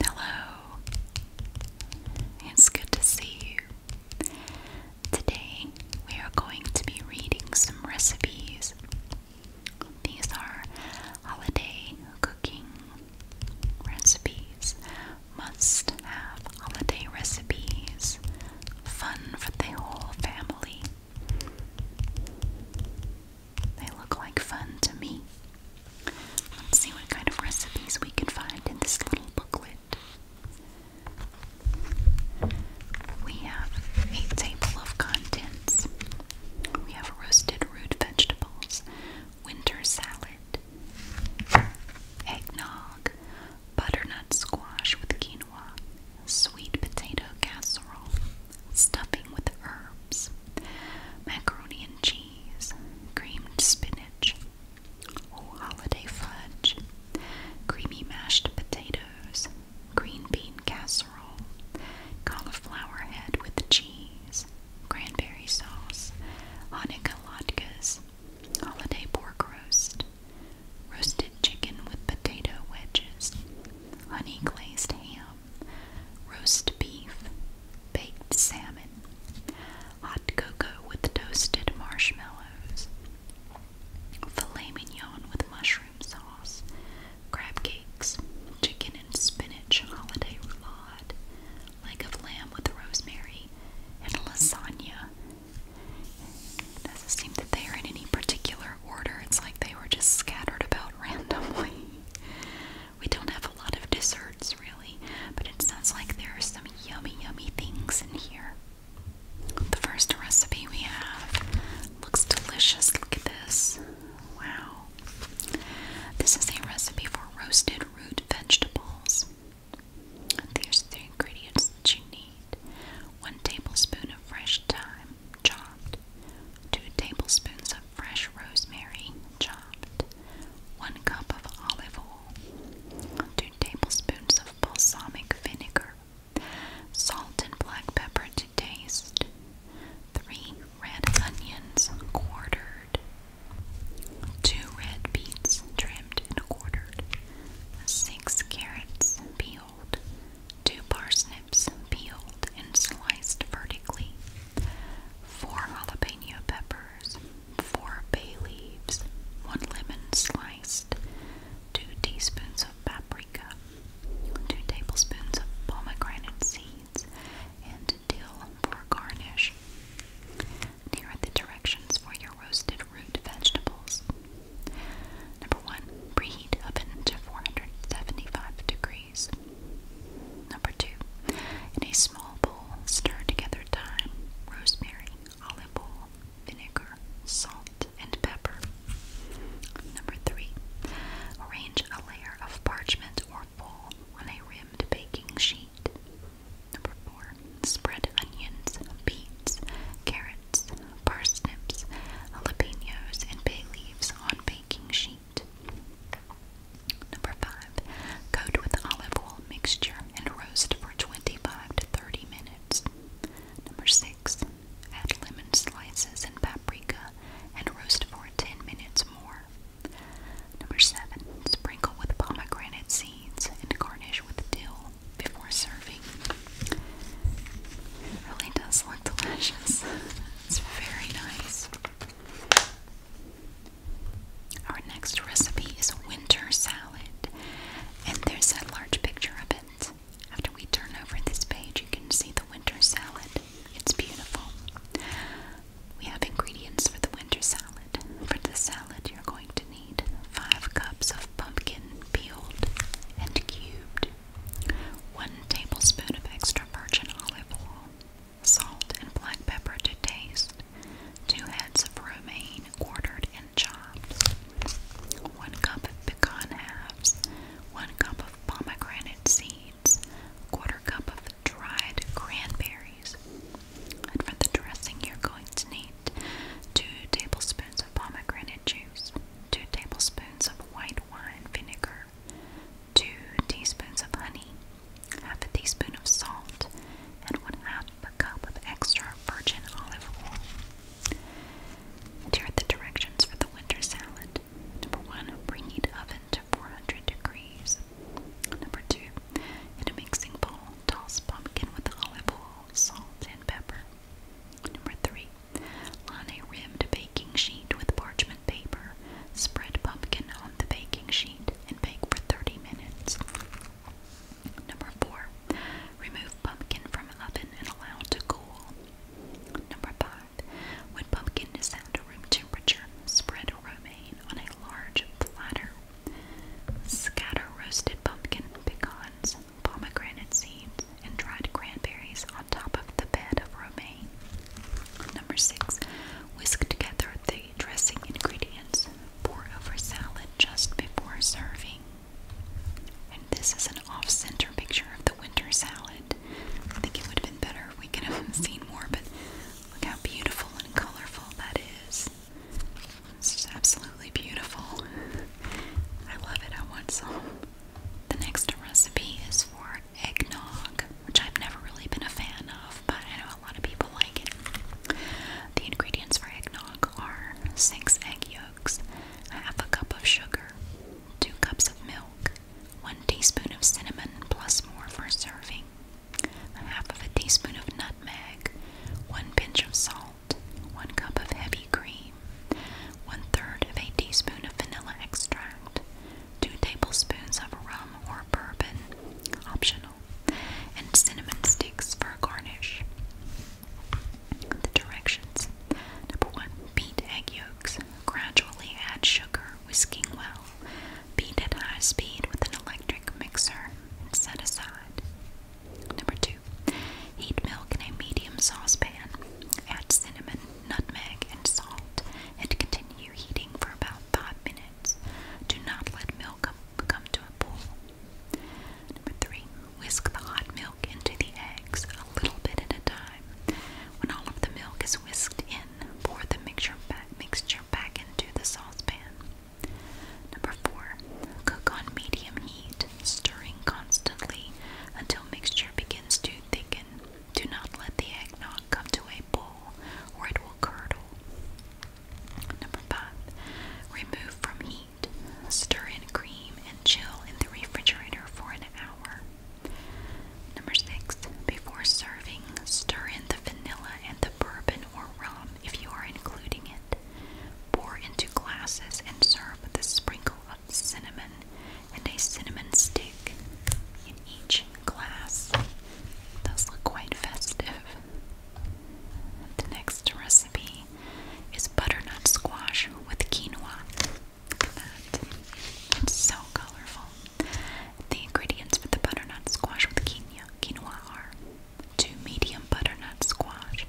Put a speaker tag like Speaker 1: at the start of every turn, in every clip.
Speaker 1: Hello, it's good to see you. Today we are going to be reading some recipes. These are holiday cooking recipes, must have holiday recipes, fun for the whole family. They look like fun to me. Let's see what kind of recipes we can find in this little booklet. We have a table of contents. We have roasted root vegetables, winter salad, eggnog, butternut squash with quinoa, sweet potato casserole, stuffing with herbs, macaroni and cheese, creamed spinach, oh, holiday fudge, creamy mashed potatoes, green bean casserole, cauliflower head with cheese, cranberry sauce, Hanukkah latkes, holiday pork roast, roasted chicken with potato wedges, honey glazed ham, roast beef, baked salmon, hot cocoa with toasted marshmallows, filet mignon with mushroom sauce, crab cakes, chicken and spinach holiday roulade, leg of lamb with rosemary, and lasagna. doesn't seem that they are in any particular order. It's like they were just scattered about randomly. We don't have a lot of desserts really, but it sounds like there are some yummy, yummy things in here. The first recipe we have looks delicious. Look at this. Wow. This is a recipe for roasted root vegetables. There's the ingredients that you need one tablespoon of fresh thyme, chopped, 2 tablespoons of fresh rosemary chopped, 1 cup of olive oil, 2 tablespoons of balsamic vinegar, salt and black pepper to taste, 3 red onions quartered, 2 red beets trimmed and quartered, 6 carrots peeled two parsnips peeled and sliced vertically, four jalapeno peppers, four bay leaves, one lemon sliced, two teaspoons of paprika, two tablespoons of pomegranate seeds, and dill for garnish. Here are the directions for your roasted root vegetables. Number one, preheat oven to 475 degrees. Number two, in a small bowl, stir together thyme, rosemary, olive oil, vinegar, salt, and pepper. Number three, arrange a layer of parchment or foil on a rimmed baking sheet. Number four, spread onions, beets, carrots, parsnips, jalapenos, and bay leaves on baking sheet. Number 5. Coat with olive oil mixture and roast for 25 to 30 minutes. Number 6. Add lemon slices and paprika and roast for 10 minutes more. Number 7. Sprinkle with pomegranate seeds and garnish with dill before serving really does look delicious. It's very nice. Our next recipe is a winter salad, and there's a large picture of it. After we turn over this page, you can see the winter salad. It's beautiful. We have ingredients for the winter salad. For the salad, you're going to need 5 cups of pumpkin peeled and cubed, 1 tablespoon of extra virgin olive oil, salt and black pepper to taste, 2 heads of romaine quartered and chopped, 1 cup of pecan halves, 1 cup of pomegranate seeds, a quarter cup of dried cranberries. And for the dressing, you're going to need 2 tablespoons of pomegranate juice, 2 tablespoons of white wine vinegar, 2 teaspoons of honey, half a teaspoon of salt, and 1 half a cup of extra virgin olive oil. here are the directions for the winter salad. Number 1. Preheat oven to 400 degrees. Number 2. In a mixing bowl, toss pumpkin with olive oil, salt, and pepper. Number 3. Line a rimmed baking sheet with parchment paper, spread pumpkin on the baking sheet, and bake for 30 minutes. Number 4. Remove pumpkin from oven and allow to cool. Number 5. When pumpkin is at room temperature, spread romaine on a large platter. Scatter roasted pumpkin, pecans, pomegranate seeds, and dried cranberries on top of the bed of romaine. Number six, whisk together the dressing ingredients. Pour over salad just before serving. And this is an off-center picture of the winter salad. I think it would have been better if we could have seen more, but look how beautiful and colorful that is. It's just absolutely beautiful. I love it. I want some. The next recipe is for eggnog, which I've never really been a fan of, but I know a lot of people like it. The ingredients for eggnog are six egg yolks, half a cup of sugar, two cups of milk, one teaspoon of cinnamon plus more for serving, half of a teaspoon of nutmeg, one pinch of salt. 1 cup of heavy cream, 1 third of a teaspoon of vanilla extract, 2 tablespoons of rum or bourbon, optional, and cinnamon sticks for garnish. The directions Number 1. Beat egg yolks. Gradually add sugar, whisking well. Beat at high speed with an electric mixer and set aside. Number 2. Heat milk in a medium saucepan. Add cinnamon, nutmeg, and salt, and continue heating for about 5 minutes. Do not let milk come to a boil. Number 3. Whisk the hot milk into the eggs a little bit at a time. When all of the milk is whisked in, pour the mixture back, mixture back into the saucepan. Number 4. Cook on medium heat, stirring constantly until mixture begins to thicken. Do not let the eggnog come to a boil or it will curdle. Number five, remove from heat. Stir in cream and chill in the refrigerator for an hour. Number six, before serving, stir in the vanilla and the bourbon or rum if you are including it. Pour into glasses and serve with a sprinkle of cinnamon and a cinnamon stick in each glass. Those look quite festive. The next recipe is butternut squash with quinoa. Look at that. It's so colorful. The ingredients for the butternut squash with quinoa are two medium butternut squash,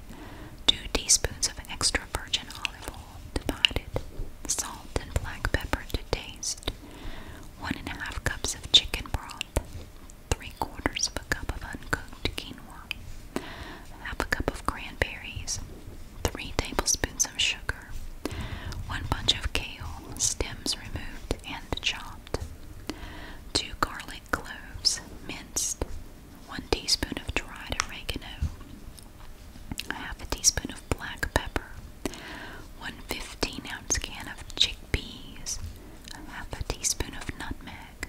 Speaker 1: 2 teaspoons of extra virgin olive oil divided, salt and black pepper to taste, 1 and a half cups of chicken broth, 3 quarters of a cup of uncooked quinoa, half a cup of cranberries, 3 tablespoons of sugar, 1 bunch of kale, stems removed and chopped, 2 garlic cloves, minced, 1 teaspoon of dried oregano, half a teaspoon of black pepper, 1 15 ounce can of chickpeas, half a teaspoon of nutmeg,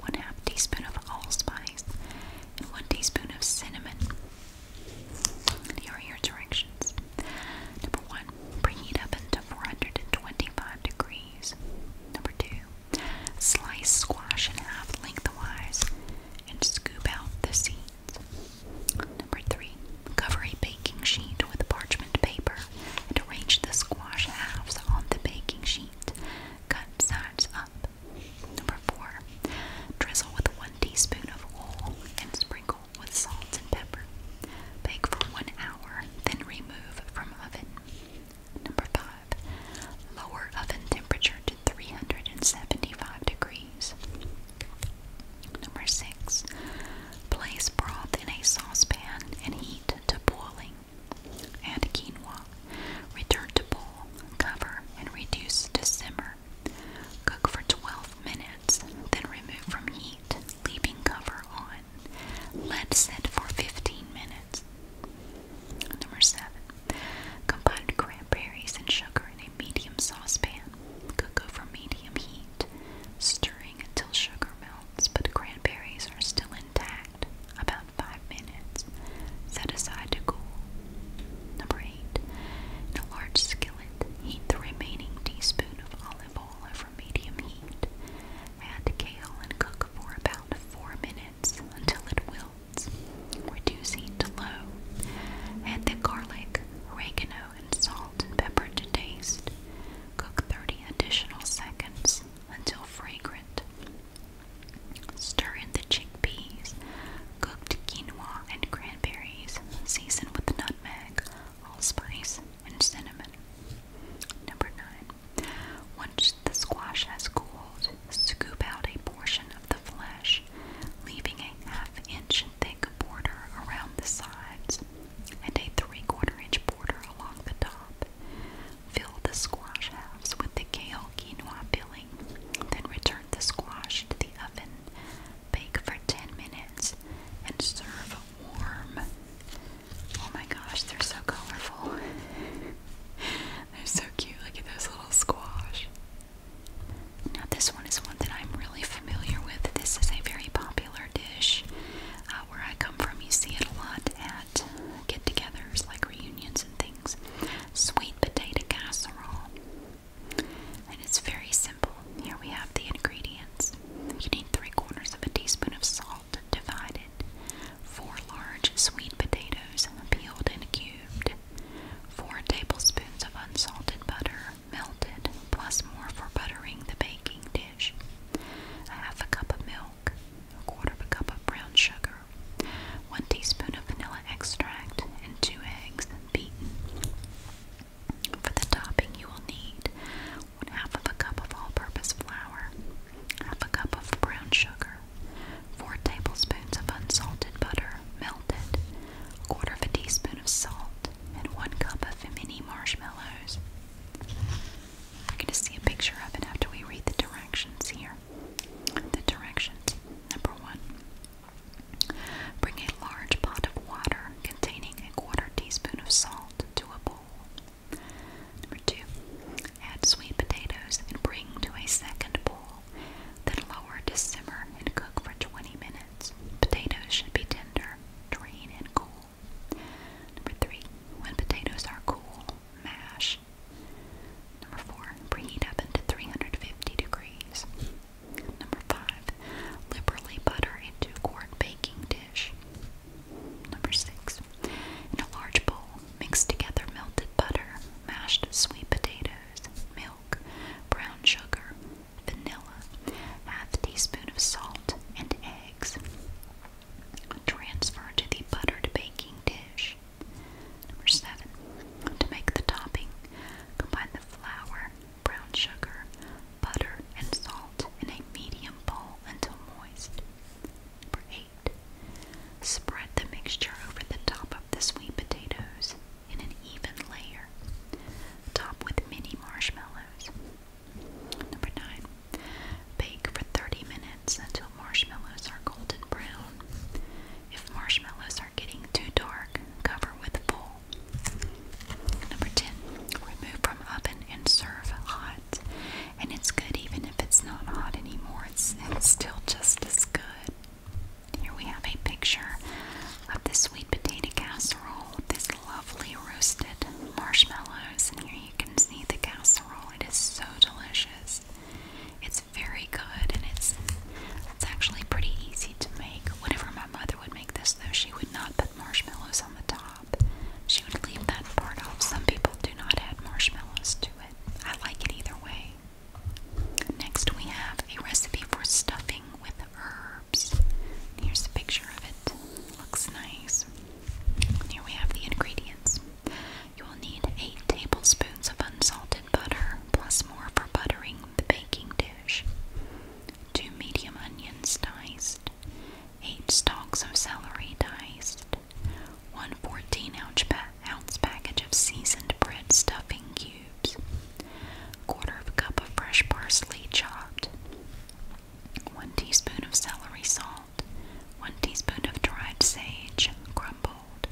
Speaker 1: 1 half teaspoon of allspice, and 1 teaspoon of cinnamon. here are your directions. Number 1. Bring up into 425 degrees. Number 2. Slice squash in half lengthwise and scoop out the seeds. Number three, cover a baking sheet with parchment paper and arrange the squash halves on the baking sheet. Cut sides up. Number four, drizzle with one teaspoon of oil and sprinkle with salt and pepper. Bake for one hour, then remove from oven. Number five, lower oven temperature to 375 degrees. Number six, place broth in a saucepan and heat to boiling. Add quinoa. Return to boil, cover, and reduce to simmer. Cook for 12 minutes, then remove from heat, leaving cover on. Let sit for 15 minutes. Number seven, combine cranberries and sugar in a medium saucepan. Cook over medium heat, stirring until sugar melts, but the cranberries are still intact. About five minutes. Set aside to cool. Number eight, in a large skillet, heat the remaining teaspoon of olive oil over medium heat. Add kale and cook for about four minutes until it wilts. reducing to low. Add the garlic, oregano, and salt and pepper to taste. Cook 30 additional seconds until fragrant. Stir in the chickpeas, cooked quinoa, and cranberries. Season with nutmeg, allspice, and cinnamon. Number 9. Once the squash has cooled, scoop out a portion of the flesh, leaving a half inch thick border around the sides and a three quarter inch border along the top. Fill the squash halves with the kale quinoa filling, then return the squash to the oven. Bake for 10 minutes and serve warm. Oh my gosh, they're so colorful. they're so cute. Look at those little squash. Now, this one is one that I'm really familiar with. This is a very popular dish uh, where I come from. You see it a lot at get togethers like reunions and things. Sweet potato casserole. And it's very simple. Here we have the ingredients. You need three quarters of a teaspoon of salt salt divided, four large sweet potatoes peeled and cubed, four tablespoons of unsalted butter melted, plus more for buttering the baking dish, a half a cup of milk, a quarter of a cup of brown sugar, one teaspoon of vanilla extract, and two eggs beaten. For the topping, you will need one half of a cup of all purpose flour, half a cup of brown sugar, 4 tablespoons of unsalted butter, melted, a quarter of a teaspoon of salt, and 1 cup of mini marshmallows. We're going to see a picture of it after we read the directions here. The directions. Number one. Bring a large pot of water containing a quarter teaspoon of salt to a boil. Number two, add sweet potatoes and bring to a second bowl, then lower to simmer and cook for 20 minutes. Potatoes should be tender, drain, and cool. Number three, when potatoes are cool, mash. Number four, preheat oven to 350 degrees. Number five, liberally butter into two-quart baking dish. Number six. In a large bowl, mix together melted butter, mashed sweet potatoes, milk, brown sugar, vanilla, half teaspoon of salt, and eggs. Transfer to the buttered baking dish. Number seven. To make the topping, combine the flour, brown sugar, butter, and salt in a medium bowl until moist. Number 8. Spread the mixture over the top of the sweet potatoes in an even layer. Top with mini marshmallows. Number 9. Bake for 30 minutes until marshmallows are golden brown. If marshmallows are getting too dark, cover with full. Number 10. Remove from oven and serve hot and it's good even if it's not hot anymore. It's, it's still just as good. Here we have a picture of the sweet potato casserole This lovely roasted marshmallows, and here you can see the casserole. It is so delicious. It's very good, and it's it's actually pretty easy to make. Whenever my mother would make this, though, she would not put marshmallows on the top. She would leave that part off. Some people do not add marshmallows to it. I like it either way. Next, we have a recipe for stuffing with herbs. Here's a picture of it. Looks nice. Here we have the ingredients. You will need 8 tablespoons of unsalted butter, plus more for buttering the baking dish. 2 medium onions diced, 8 stalks of celery diced, one 14 ounce package of seasoned bread stuffing cubes, quarter of a cup of fresh parsley chopped, one teaspoon of celery salt, one teaspoon of dried sage crumbled,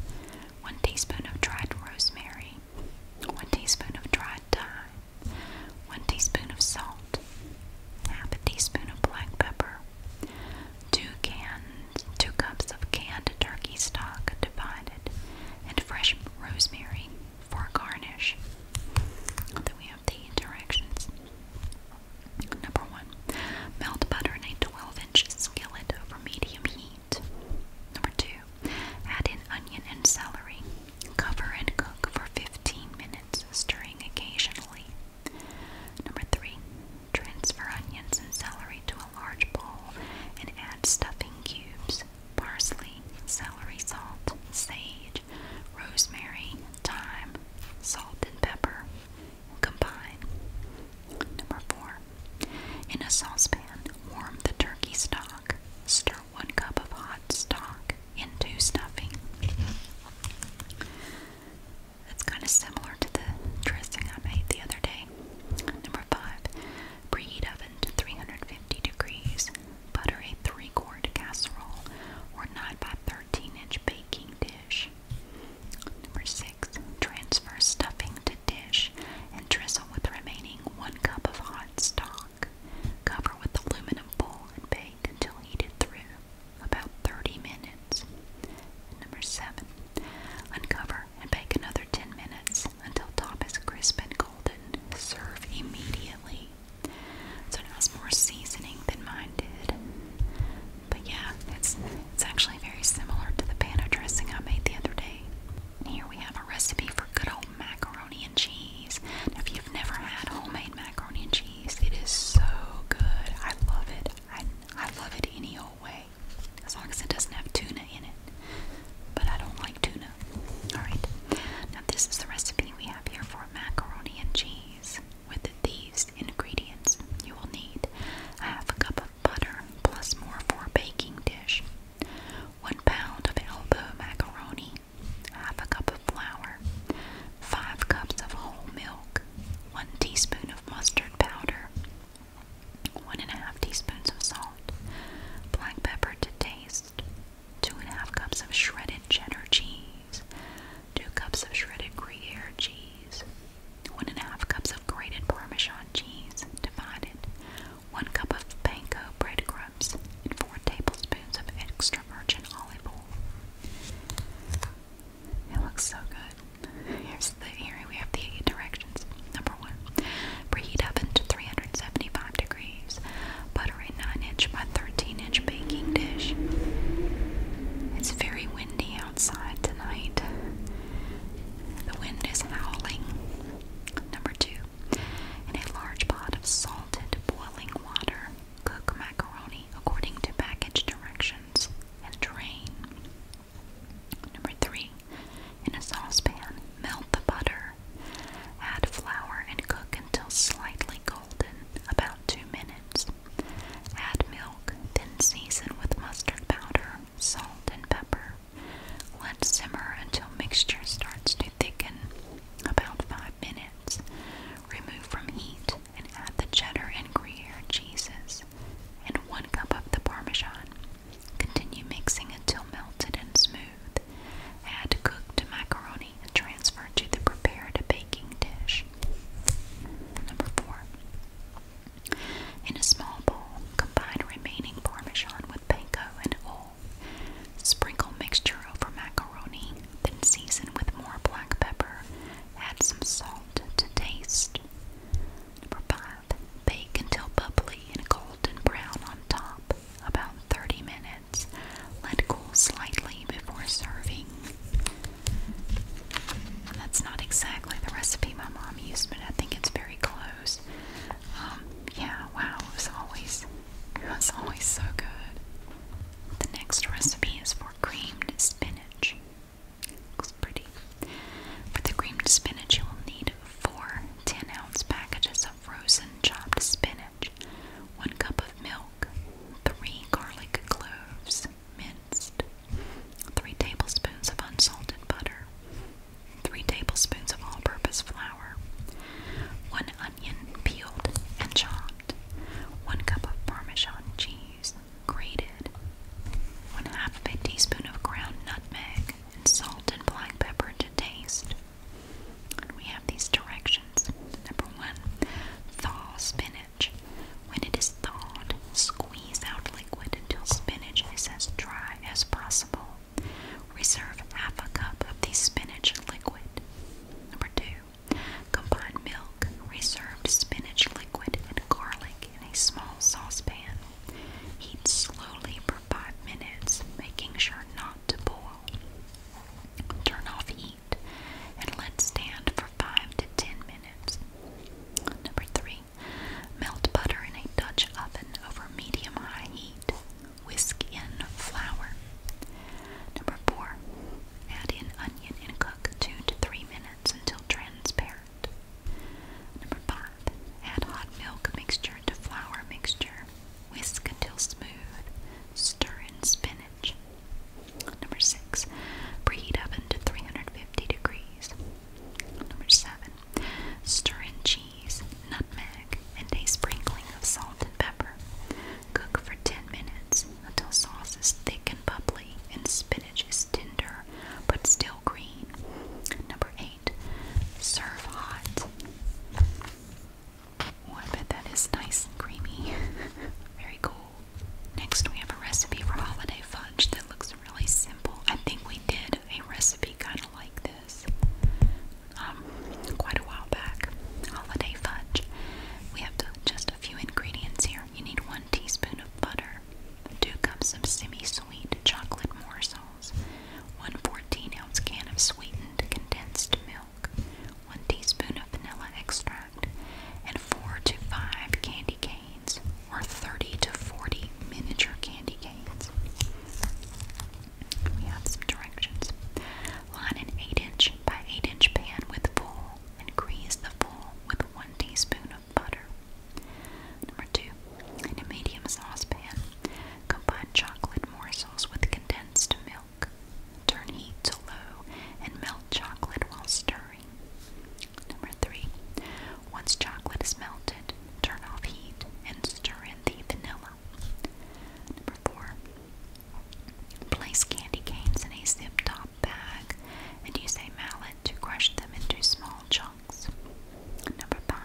Speaker 1: one teaspoon of dried rosemary, one teaspoon of dried thyme, one teaspoon of salt, half a teaspoon of black pepper, two cans, two cups of canned turkey stock divided, and fresh rosemary for garnish. Then we have the directions. Number one, melt butter in a 12-inch skillet over medium heat. Number two, add in onion and celery. Cover and cook for 15 minutes, stirring occasionally. Number three, transfer onions and celery to a large bowl and add stuffing cubes, parsley, celery salt, sage, rosemary, thyme, salt, and pepper. Combine. Number four, in a saucepan, warm the turkey stock. Stir one cup of hot stock into stuffing. That's kind of similar to the dressing I made the other day. Number five, preheat oven to 350 degrees. Butter a three quart casserole or 9 by 13 inch baking dish. Number six, transfer stuffing to dish and drizzle with remaining one cup of hot stock. Cover with aluminum foil and bake until heated through about 30 minutes. And number seven, uncover and bake another 10 minutes until top is crisp and golden. Serve immediately. So it has more seasoning than mine did. But yeah, it's it's actually very similar to the panna dressing I made the other day. here we have a recipe for good old macaroni and cheese. Now if you've never had homemade macaroni and cheese, it is so good. I love it. I, love it any old way. As long as it doesn't have tuna in it. But I don't like tuna. Alright. Now this is the recipe we have here for macaroni and cheese. With these ingredients you will need a half a cup of butter plus more for a baking dish. One pound of elbow macaroni, half a cup of flour, 5 cups of whole milk, 1 teaspoon of mustard powder, 1 and a half teaspoons of salt, black pepper to taste, 2 and a half cups of shredded cheddar cheese, 2 cups of shredded Gruyere cheese, 1 and a half cups of grated Parmesan cheese, divided, 1 cup of panko breadcrumbs, and 4 tablespoons of extra virgin olive oil. It looks so good. Here's the area. we have the directions. Number one, preheat oven to 375 degrees. Butter a 9-inch by 13-inch baking dish. It's very windy outside tonight. The wind is howling. Number two, in a large pot of salted boiling water, Cook macaroni according to package directions and drain. Number three, in a saucepan, melt the butter. Add flour and cook until slightly golden, about two minutes. Add milk, then season with mustard powder, salt, and pepper. Let simmer until mixture starts to thicken, about five minutes. Remove from heat and add the cheddar and Gruyere cheeses and 1 cup of the Parmesan. Continue mixing until melted and smooth. Add cooked macaroni and transfer to the prepared baking dish. Number 4. In a small bowl, combine remaining Parmesan with panko and oil. Sprinkle mixture over macaroni then season with more black pepper. Add some salt to taste. Number five, bake until bubbly and golden brown on top, about 30 minutes. Let cool slightly before serving. That's not exactly the recipe my mom used, but I think it's very close. Um, yeah, wow, it was always, it was always so good. The next recipe is for creamed spinach. Looks pretty. For the creamed spinach, you will need four 10 ounce packages of frozen chopped spinach, one cup of milk, three garlic cloves minced, three tablespoons of unsalted butter, three tablespoons of all purpose flour, one onion peeled and chopped. 1 cup of Parmesan cheese, grated, 1 half a teaspoon of ground nutmeg, and salt and black pepper to taste. we have these directions. Number 1. Thaw spinach. When it is thawed, squeeze out liquid until spinach is as dry as possible. Reserve half a cup of the spinach liquid. Number two, Combine milk, reserved spinach liquid, and garlic in a small saucepan. Heat slowly for 5 minutes, making sure not to boil. Turn off heat and let stand for 5 to 10 minutes. Number 3. Melt butter in a Dutch oven over medium high heat whisk in flour. Number four, add in onion and cook two to three minutes until transparent. Number five, add hot milk mixture to flour mixture. Whisk until smooth. Stir in spinach. Number six, preheat oven to 350 degrees. Number seven, stir in cheese, nutmeg, and a sprinkling of salt and pepper. Cook for 10 minutes until sauce is thick and bubbly and spinach is tender but still green. Number 8. Serve hot. I bet that is nice and creamy. Very cool. Next, we have a recipe for holiday fudge that looks really simple. I think we did a recipe kind of like this. Um, quite a while back. Holiday fudge. We have just a few ingredients here. You need one teaspoon of butter, two cups of semi-sweet chocolate morsels, one 14-ounce can of sweetened condensed milk, one teaspoon of vanilla extract, and four to five candy canes, or 30 to 40 miniature candy canes. We have some directions. Line an 8 inch by 8 inch pan with full and grease the full with 1 teaspoon of butter. Number 2. In a medium saucepan, combine chocolate morsels with condensed milk. Turn heat to low and melt chocolate while stirring. Number 3. Once chocolate is melted, turn off heat and stir in the vanilla. Number 4. Place candy canes in a zip top bag and use a mallet to crush them into small chunks. Number 5.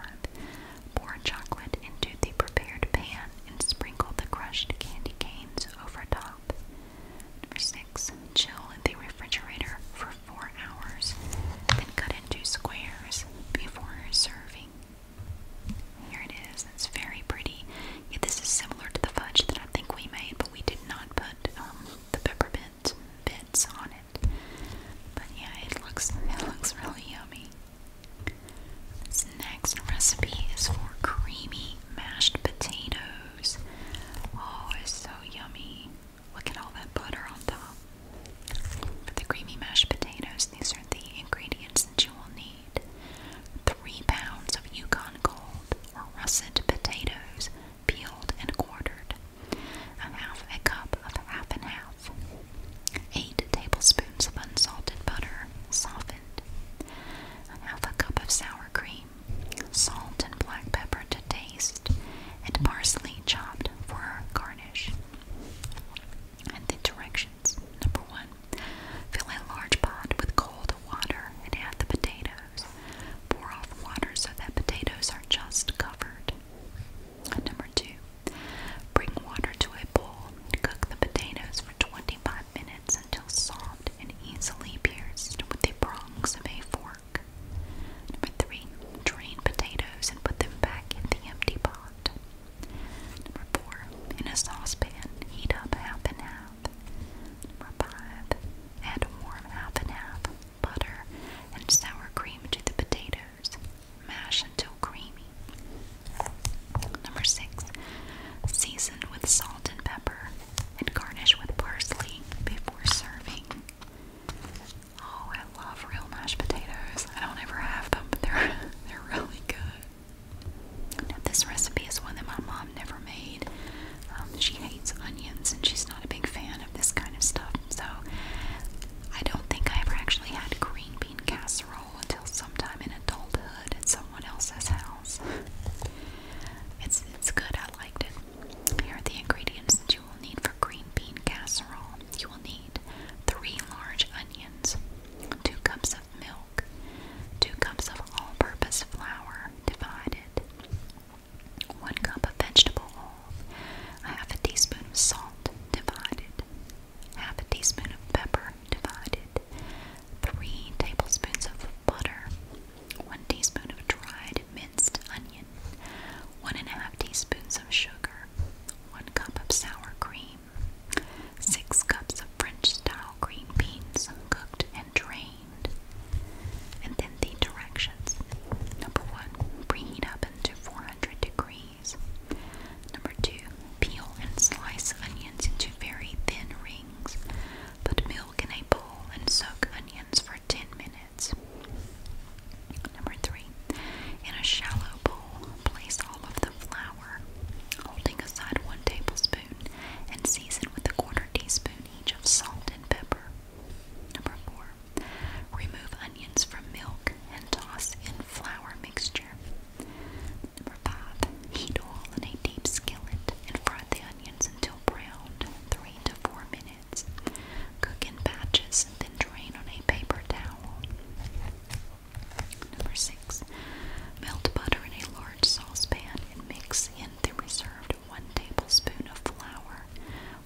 Speaker 1: Pour chocolate into the prepared pan and sprinkle the crushed candy canes over top. Number 6. Chill in the refrigerator for 4 hours, then cut into squares before serving. Here it is. It's very pretty. this is similar to the fudge that I think we made, but we did not put um, the peppermint bits on it. But yeah, it looks it looks really yummy. This next recipe is for creamy mashed potatoes. Oh, it's so yummy. Look at all that butter on top. For the creamy mashed potatoes, these are the ingredients that you will need three pounds of Yukon gold or russet potatoes peeled and quartered, a half a cup of half and half, eight tablespoons of unsalted butter softened, a half a cup of sour cream, salt and black pepper to taste, and parsley chopped for garnish and the directions. Number one, fill a large pot with cold water and add the potatoes. Pour off water so that potatoes are just covered. number two, bring water to a boil bowl. Cook the potatoes for 25 minutes until soft and easily pierced with the prongs of a fork. Number three, drain potatoes and put them back in the empty pot. Number four, in a saucepan, heat up half and half. Number five, add warm half and half butter and sour cream to the potatoes. Mash until creamy. Number six, season with salt and pepper and garnish with parsley before serving. Oh, I love real mashed potatoes. I don't ever have them, but they're they're really good this recipe is one that my mom never made. Um, she hates onions and she's not a big fan of this kind of stuff. So, I don't think I ever actually had green bean casserole until sometime in adulthood at someone else's house. It's, it's good, I liked it. Here are the ingredients that you will need for green bean casserole. You will need three large onions, 2 cups of milk, 2 cups of all-purpose flour, divided, 1 cup of vegetable oil, a half a teaspoon of salt, divided, half a teaspoon of pepper, divided, 3 tablespoons of butter, 1 teaspoon of dried minced onion, 1 1⁄2 teaspoons of sugar, 1 cup of sour cream, Six cups of French style green beans, cooked and drained. And then the directions. Number one, preheat oven to 400 degrees. Number two, peel and slice onions into very thin rings. Put milk in a bowl and soak onions for 10 minutes. Number three, in a shallow bowl, place all of the flour holding aside one tablespoon, and season with a quarter teaspoon each of salt and pepper. Number four, remove onions from milk and toss in flour mixture. Number five, heat oil in a deep skillet and fry the onions until browned, three to four minutes. Cook in batches and then drain on a paper towel. Number six, melt butter in a large saucepan and mix in the reserved one tablespoon of flour,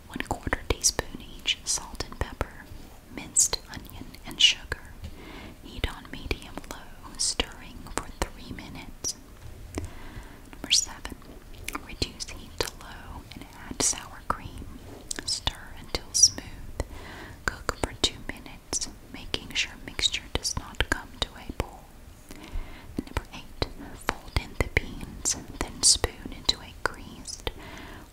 Speaker 1: one quarter teaspoon each salt and pepper, minced onion and sugar. Heat on medium low, stirring for three minutes. Number seven, reduce heat to low and add sour cream. Stir until smooth. Cook for two minutes, making sure mixture does not come to a boil. Number eight, fold in the beans, then spoon into a greased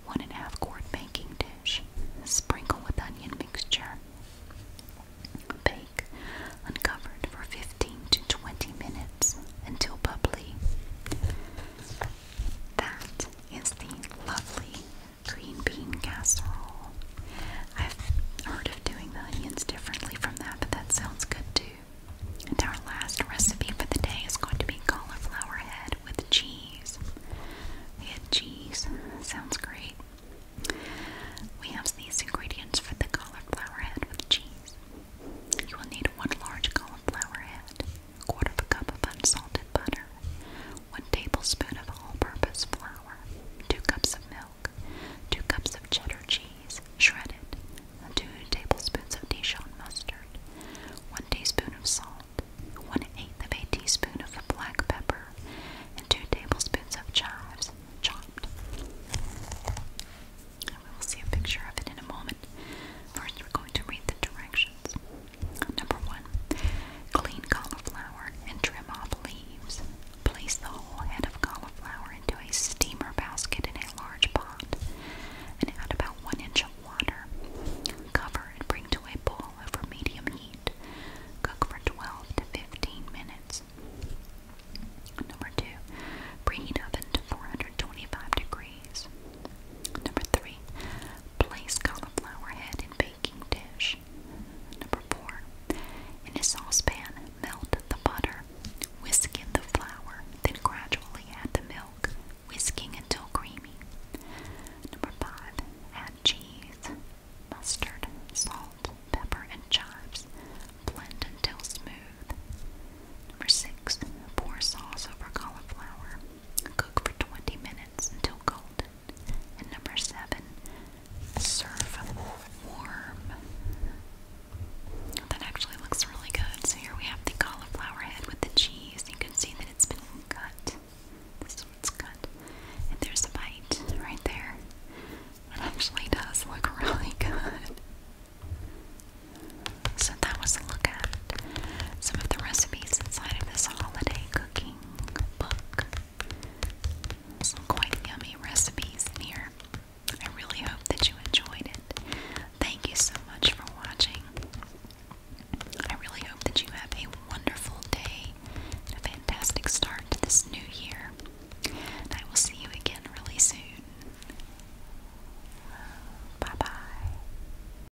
Speaker 1: one and a half quart baking dish. Sprinkle with onion mixture. Bake uncovered for 15 to 20 minutes until bubbly. That is the lovely green bean casserole. I've heard of doing the onions differently from that, but that sounds good too. And our last recipe for the day is going to be cauliflower head with cheese. Head cheese sounds great. We have these ingredients for the cauliflower head with cheese. You will need one large cauliflower head, a quarter of a cup of unsalted butter, 1 tablespoon of all-purpose flour, 2 cups of milk, 2 cups of cheddar cheese, shredded, 2 tablespoons of Dijon mustard, 1 teaspoon of salt, 1 eighth of a teaspoon of black pepper, and 2 tablespoons of chives, chopped. And we will see a picture of it in a moment. First, we're going to read the directions. Number one, clean cauliflower and trim off leaves. Place the whole head of cauliflower into a steamer basket in a large pot and add about one inch of water. Cover and bring to a boil over medium heat. Cook for 12 to 15 minutes. Number two, preheat oven to 425 degrees. Number three, Place cauliflower head in baking dish. Number four. In a saucepan, melt the butter, whisk in the flour, then gradually add the milk, whisking until creamy. Number five. Add cheese, mustard, salt, pepper, and chives. Blend until smooth. Number six. Pour sauce over cauliflower. Cook for 20 minutes until golden. And number seven, serve warm. That actually looks really good. So here we have the cauliflower head with the cheese. You can see that it's been cut. This is cut. And there's a bite right there. It actually does look really good. So that was a look at some of the recipes inside of this holiday cooking book. Some quite yummy recipes here. I really hope that you enjoyed it. Thank you so much for watching. I really hope that you have a wonderful day and a fantastic start to this new year. I will see you again really soon. Bye bye.